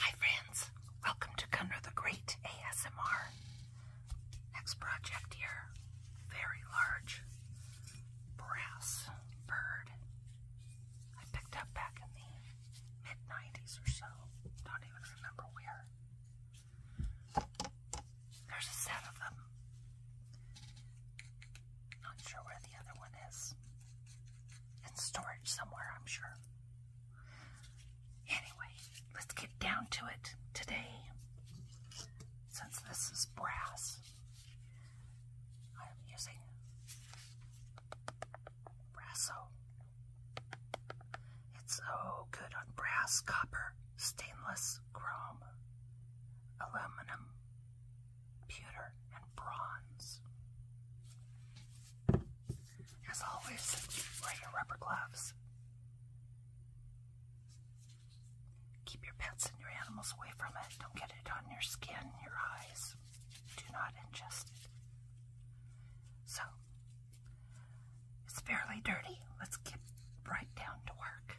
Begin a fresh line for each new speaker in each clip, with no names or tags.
Hi, friends. Welcome to Gunner the Great ASMR. Next project here. Very large brass bird. I picked up back in the mid 90s or so. Don't even remember where. There's a set of them not sure where the other one is. It's storage somewhere, I'm sure. Anyway, let's get down to it today. Since this is brass, I'm using Brasso. It's so good on brass, copper, stainless, chrome, aluminum, pewter, and bronze. As always, wear your rubber gloves. Keep your pets and your animals away from it. Don't get it on your skin, your eyes. Do not ingest it. So, it's fairly dirty. Let's get right down to work.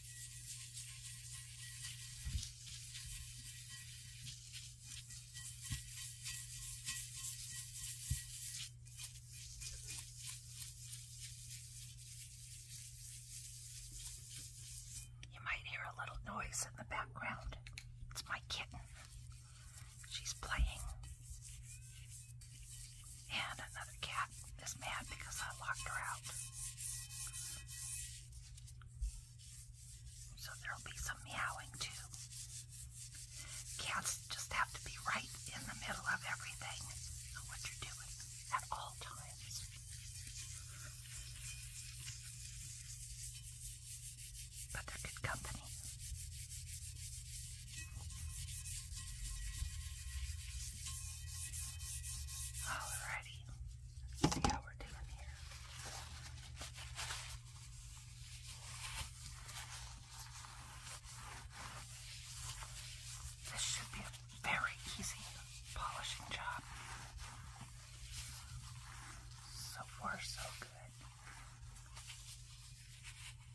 You might hear a little noise in the background. It's my kitten. She's playing. And another cat is mad because I locked her out. So there'll be some meowing too. Cats just have to be right in the middle of everything, of what you're doing at all times. But they're good company. Alrighty. Let's see how we're doing here. This should be a very easy polishing job. So far, so good.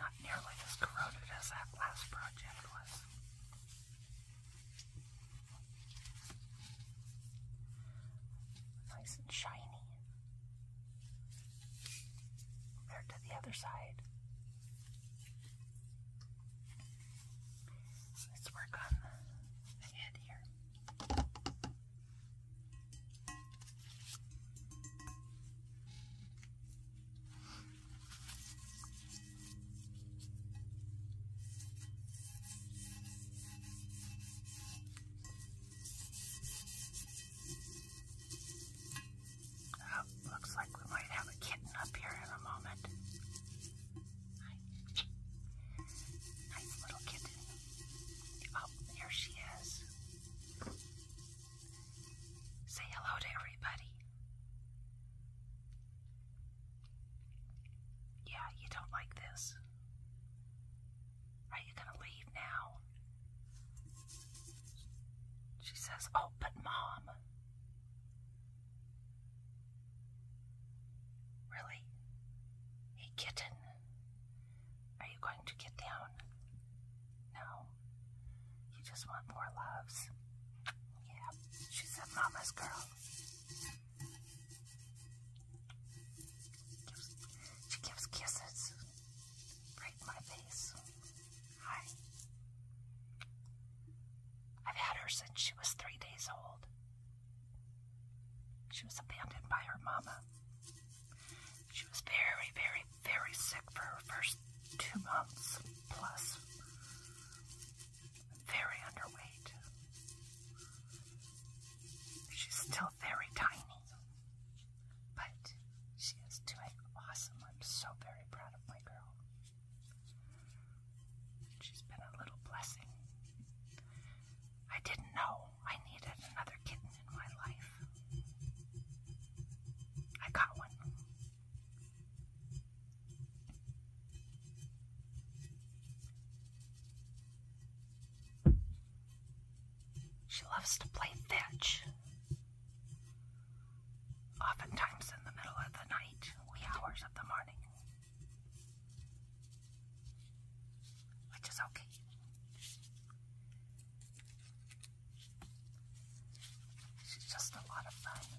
Not nearly as corroded as that last project was. Nice and shiny compared to the other side. Let's work on the head here. Oh, looks like we might have a kitten up here in a moment. Nice little kitten. Oh, here she is. Say hello to everybody. Yeah, you don't like this. Are you gonna leave now? She says, Oh, but mom. Really? Hey, kitten, are you going to get down? No. You just want more loves. Yeah, she said, Mama's girl she gives kisses right in my face. I've had her since she was three days old. She was abandoned by her mama. She was very, very, very sick for her first two months plus very underweight. She's still very tiny, but she is doing awesome. I'm so very proud of my girl. She's been a little blessing. I didn't know I needed another kitten in my life. I got one. She loves to play fetch. Oftentimes in the middle of the night, wee hours of the morning. Which is okay. She's just a lot of fun.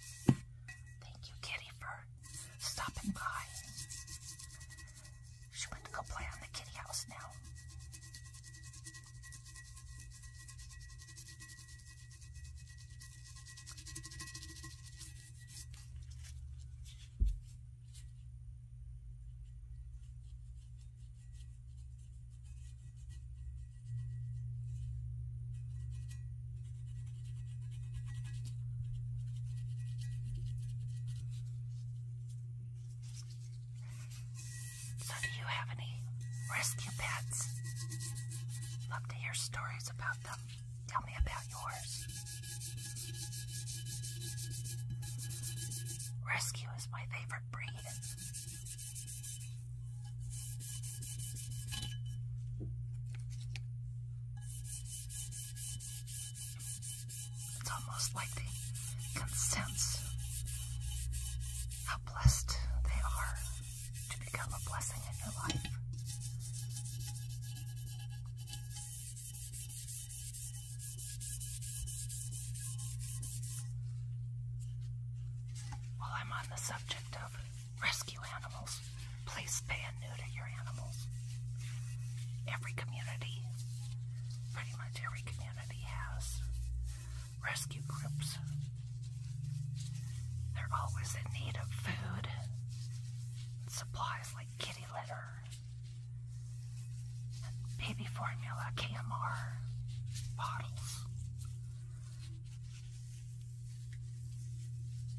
Thank you, Kitty, for stopping by. She went to go play on the kitty house now. So, do you have any rescue pets? Love to hear stories about them. Tell me about yours. Rescue is my favorite breed. It's almost like they sense how blessed they are to become a blessing in your life. While I'm on the subject of Rescue animals. Please spay and neuter your animals. Every community, pretty much every community has rescue groups. They're always in need of food supplies like kitty litter baby formula, KMR bottles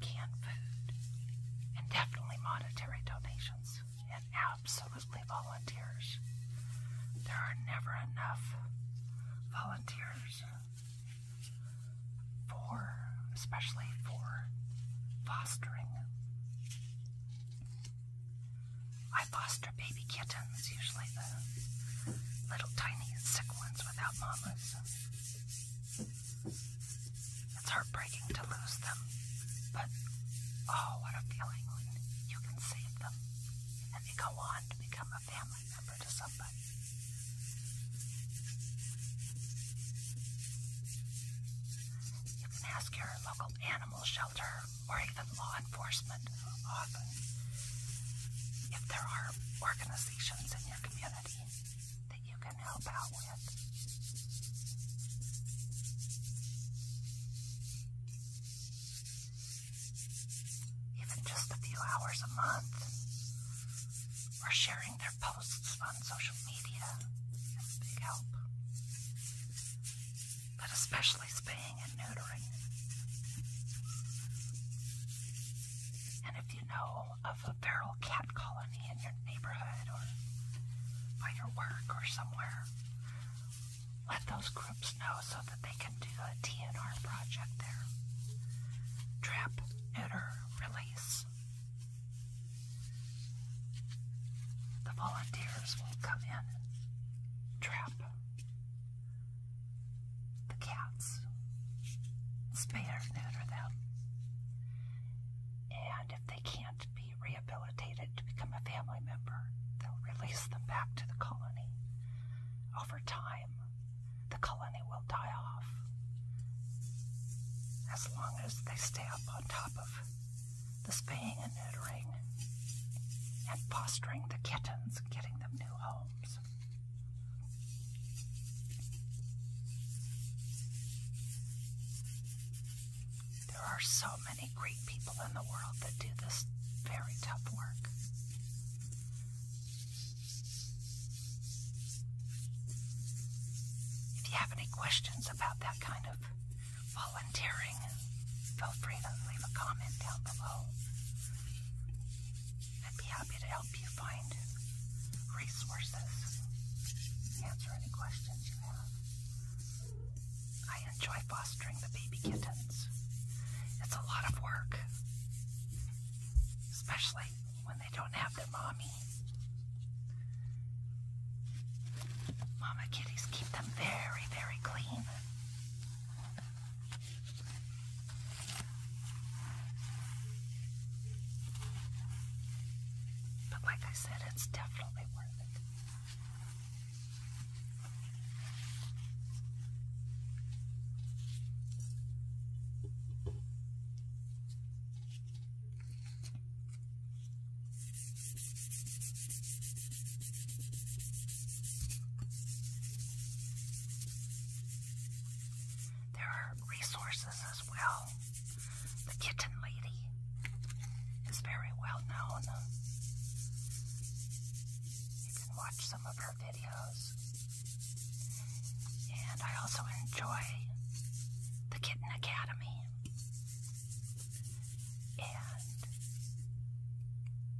canned food, and definitely monetary donations, and absolutely volunteers. There are never enough volunteers for, especially for fostering. I foster baby kittens, usually the little tiny sick ones without mamas. It's heartbreaking to lose them, but oh, what a feeling when you can save them and they go on to become a family member to somebody. You can ask your local animal shelter or even law enforcement often if there are organizations in your community that you can help out with. Even just a few hours a month, or sharing their posts on social media is big help. But especially spaying and neutering. And if you know of a feral cat colony in your neighborhood or by your work or somewhere, let those groups know so that they can do a TNR project there. Trap, neuter, release. The volunteers will come in trap, the cats, spay or neuter them. And if they can't be rehabilitated to become a family member, they'll release them back to the colony. Over time, the colony will die off as long as they stay up on top of the spaying and neutering and fostering the kittens getting them new homes. There are so many great people in the world that do this very tough work. If you have any questions about that kind of volunteering, feel free to leave a comment down below. I'd be happy to help you find resources, answer any questions you have. I enjoy fostering the baby kittens. It's a lot of work, especially when they don't have their mommy. Mama kitties keep them very, very clean. But like I said, it's definitely worth it. There are resources as well. The Kitten Lady is very well known. You can watch some of her videos. And I also enjoy the Kitten Academy and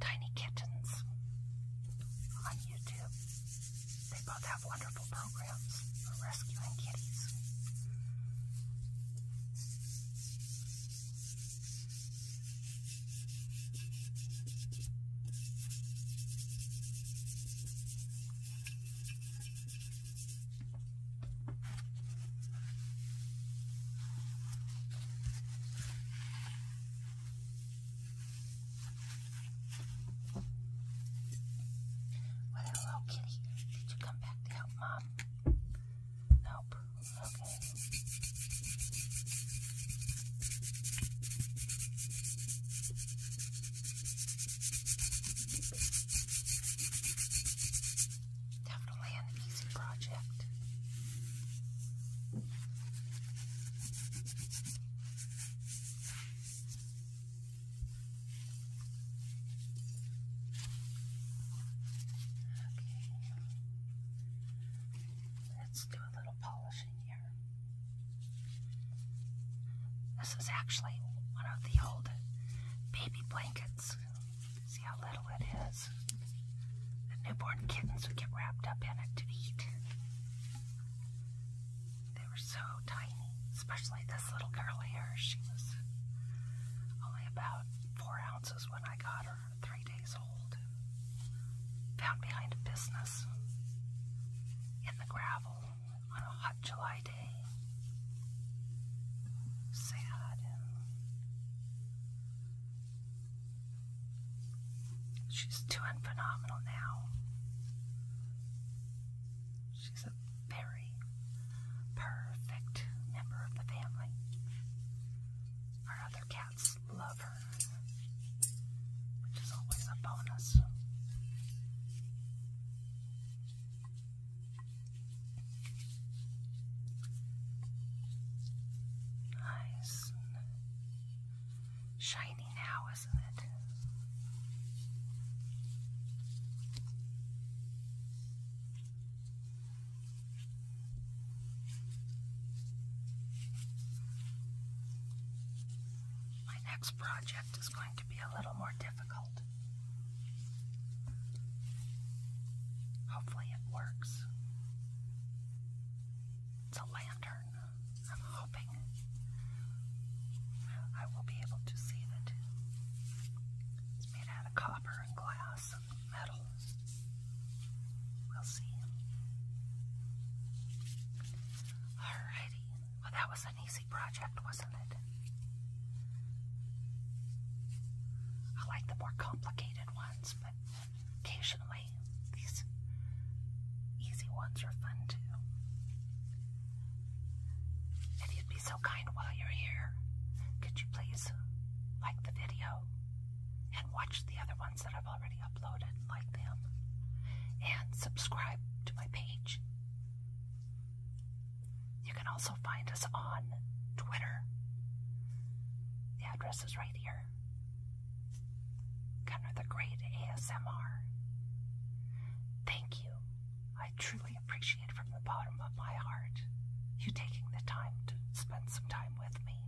Tiny Kittens on YouTube. They both have wonderful programs for rescuing kitties hello, kitty. Did you come back to help mom? Nope. Okay. Definitely an easy project. Let's do a little polishing here. This is actually one of the old baby blankets. See how little it is. The newborn kittens would get wrapped up in it to eat. They were so tiny, especially this little girl here. She was only about four ounces when I got her, three days old. Found behind a business in the gravel on a hot July day. Sad. She's doing phenomenal now. She's a very perfect member of the family. Our other cats love her, which is always a bonus. Nice. Shiny now my next project is going to be a little more difficult. Hopefully, it works. It's a lantern. I'm hoping I will be able to see that it's made out of copper and glass metal. We'll see. Alrighty. Well, that was an easy project, wasn't it? I like the more complicated ones, but occasionally these easy ones are fun too. If you'd be so kind while you're here, could you please like the video and watch the other ones that I've already uploaded, like them, and subscribe to my page. You can also find us on Twitter. The address is right here Gunner the Great ASMR. Thank you. I truly appreciate from the bottom of my heart you taking the time to spend some time with me.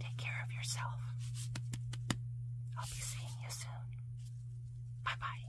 Take care of yourself. I'll be seeing you soon. Bye bye.